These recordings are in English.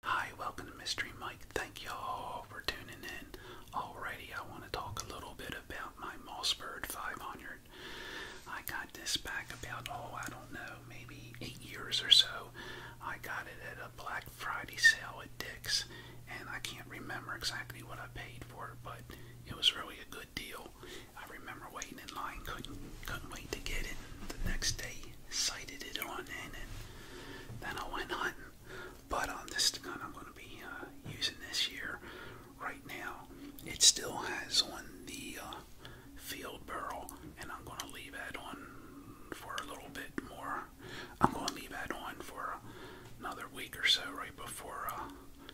Hi, welcome to Mystery Mike. Thank y'all for tuning in. Alrighty, I want to talk a little bit about my Mossbird 500. I got this back about, oh, I don't know, maybe eight years or so. I got it at a Black Friday sale at Dick's, and I can't remember exactly what I paid for it, but it was really a good deal. I remember waiting in line, couldn't couldn't wait to get it. The next day, sighted it on in, and then I went hunting. But on this gun I'm going to be uh, using this year, right now, it still has on the uh, field barrel, and I'm going to leave that on for a little bit more. I'm going to leave that on for another week or so right before uh,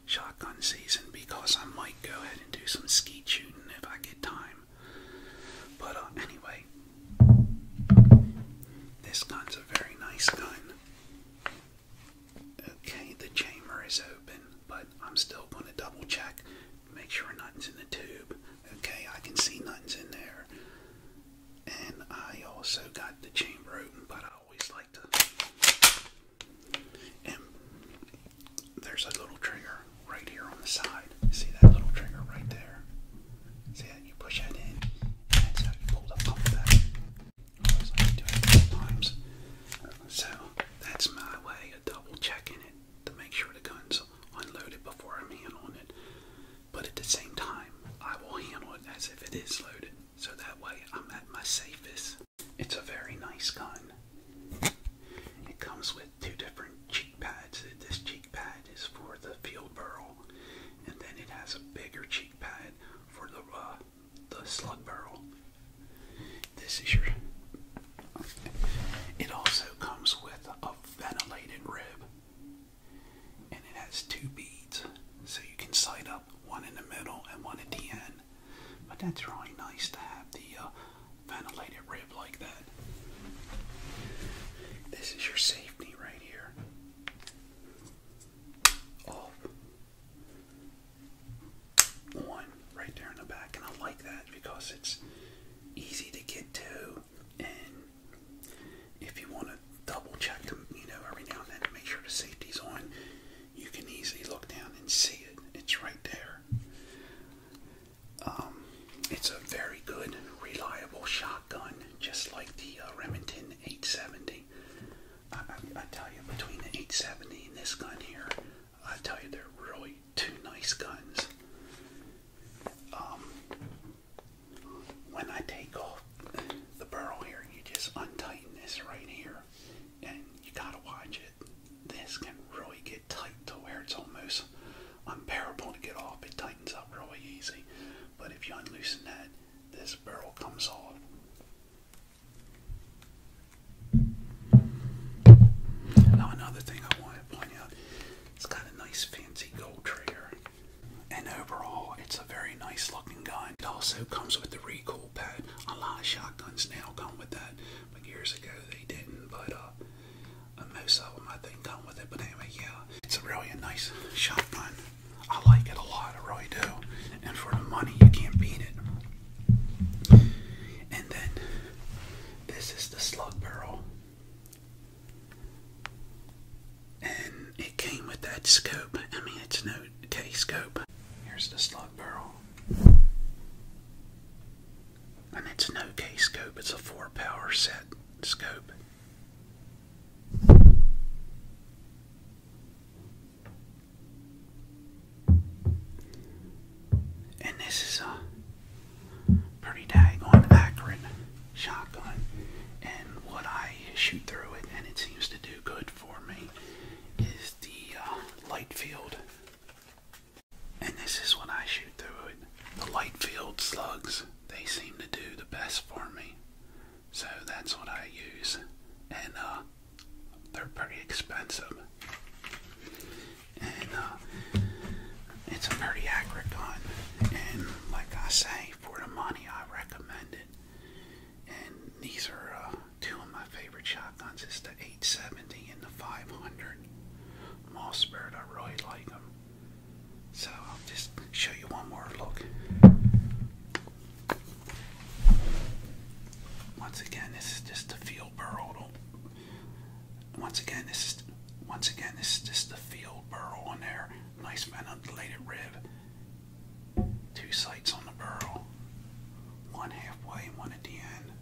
shotgun season because I might go ahead and do some skeet shooting if I get time. But uh, anyway, this gun's a very nice gun. Okay, the chamber is open, but I'm still going to double check, make sure nothing's in the tube. Okay, I can see nothing's in there. And I also got the chamber open, but I always like to. And there's a little trigger right here on the side. See that little trigger right there? See that? You push that in, that's how you pull the pump back. I was like doing it times. So that's my way of double checking it to make sure the gun's unloaded before I'm handling it. But at the same time, I will handle it as if it is loaded. So that way I'm at my safest. It's a very nice gun. It comes with two different cheek pads. This cheek pad is for the field barrel, and then it has a bigger cheek pad for the uh, the slug barrel. This is your. It also comes with a ventilated rib, and it has two beads, so you can sight up one in the middle and one at the end. But that's really nice to have the uh, ventilated rib like that. This is your safety right here. Oh. right there in the back, and I like that because it's easy to get to, and if you want to double check them, you know, every now and then to make sure the safety's on, you can easily look down and see it. It's right there. Um, it's a very good, reliable shotgun, just like the uh, Remington 870. I, tell you, between the 870 and this gun here, I tell you, they're really two nice guns. Um, when I take off the barrel here, you just untighten this right here, and you gotta watch it. This can really get tight to where it's almost unbearable to get off. It tightens up really easy. But if you unloosen that, this barrel comes off. Now another thing I want to point out, it's got a nice fancy gold trigger. And overall, it's a very nice looking gun. It also comes with the recoil pad. A lot of shotguns now come with that, but years ago they didn't. But uh, a moose album I think done with it. But anyway, yeah, it's really a nice shotgun. I like it a lot, I really do. And for the money, you can't beat it. And then this is the slug barrel. And it came with that scope. I mean, it's no K scope. Here's the slug barrel. And it's no K scope, it's a four power set scope. And this is a pretty daggone accurate shotgun, and what I shoot through it, and it seems to do good for me, is the uh, light field and this is what I shoot through it. The light field slugs, they seem to do the best for me. So that's what I use. And uh, they're pretty expensive. And uh, it's a pretty accurate gun. And like I say, for the money, I recommend it. And these are uh, two of my favorite shotguns. It's the 870 and the 500. Mossberg. I really like them. So I'll just show you one more look. Once again, this is just the field burl. Once again, this is once again this is just the field burl on there. Nice ventilated rib. Two sights on the burl. One halfway and one at the end.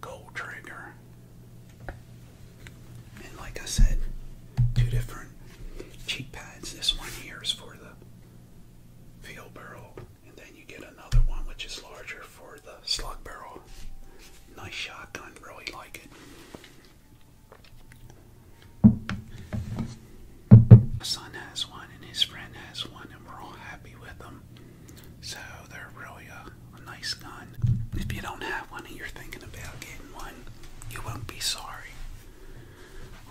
Gold trigger. And like I said, two different cheek pads. This one here is for the field barrel, and then you get another one which is larger for the slug barrel. Nice shotgun, really like it. My son has one and his friend has one, and we're all happy with them. So they're really a, nice gun. If you don't have one and you're thinking about getting one, you won't be sorry.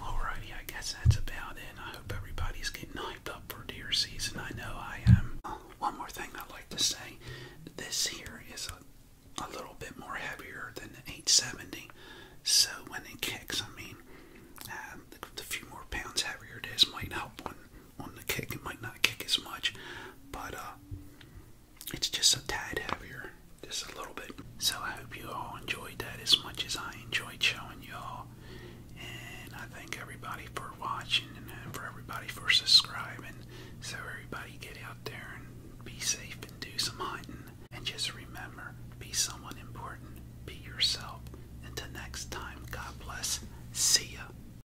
Alrighty, I guess that's about it. I hope everybody's getting hyped up for deer season. I know I am. One more thing I'd like to say. This here is a, little bit more heavier than the 870. So when it kicks, I mean, uh, the, few more pounds heavier it is might help when on the kick. It might not kick as much, but uh, it's just a tad heavier, just a little bit. So I hope you all enjoyed that as much as I enjoyed showing you all. And I thank everybody for watching and for everybody for subscribing. So everybody get out there and be safe and do some hunting. And just remember, be someone important. Be yourself. Until next time, God bless. See ya.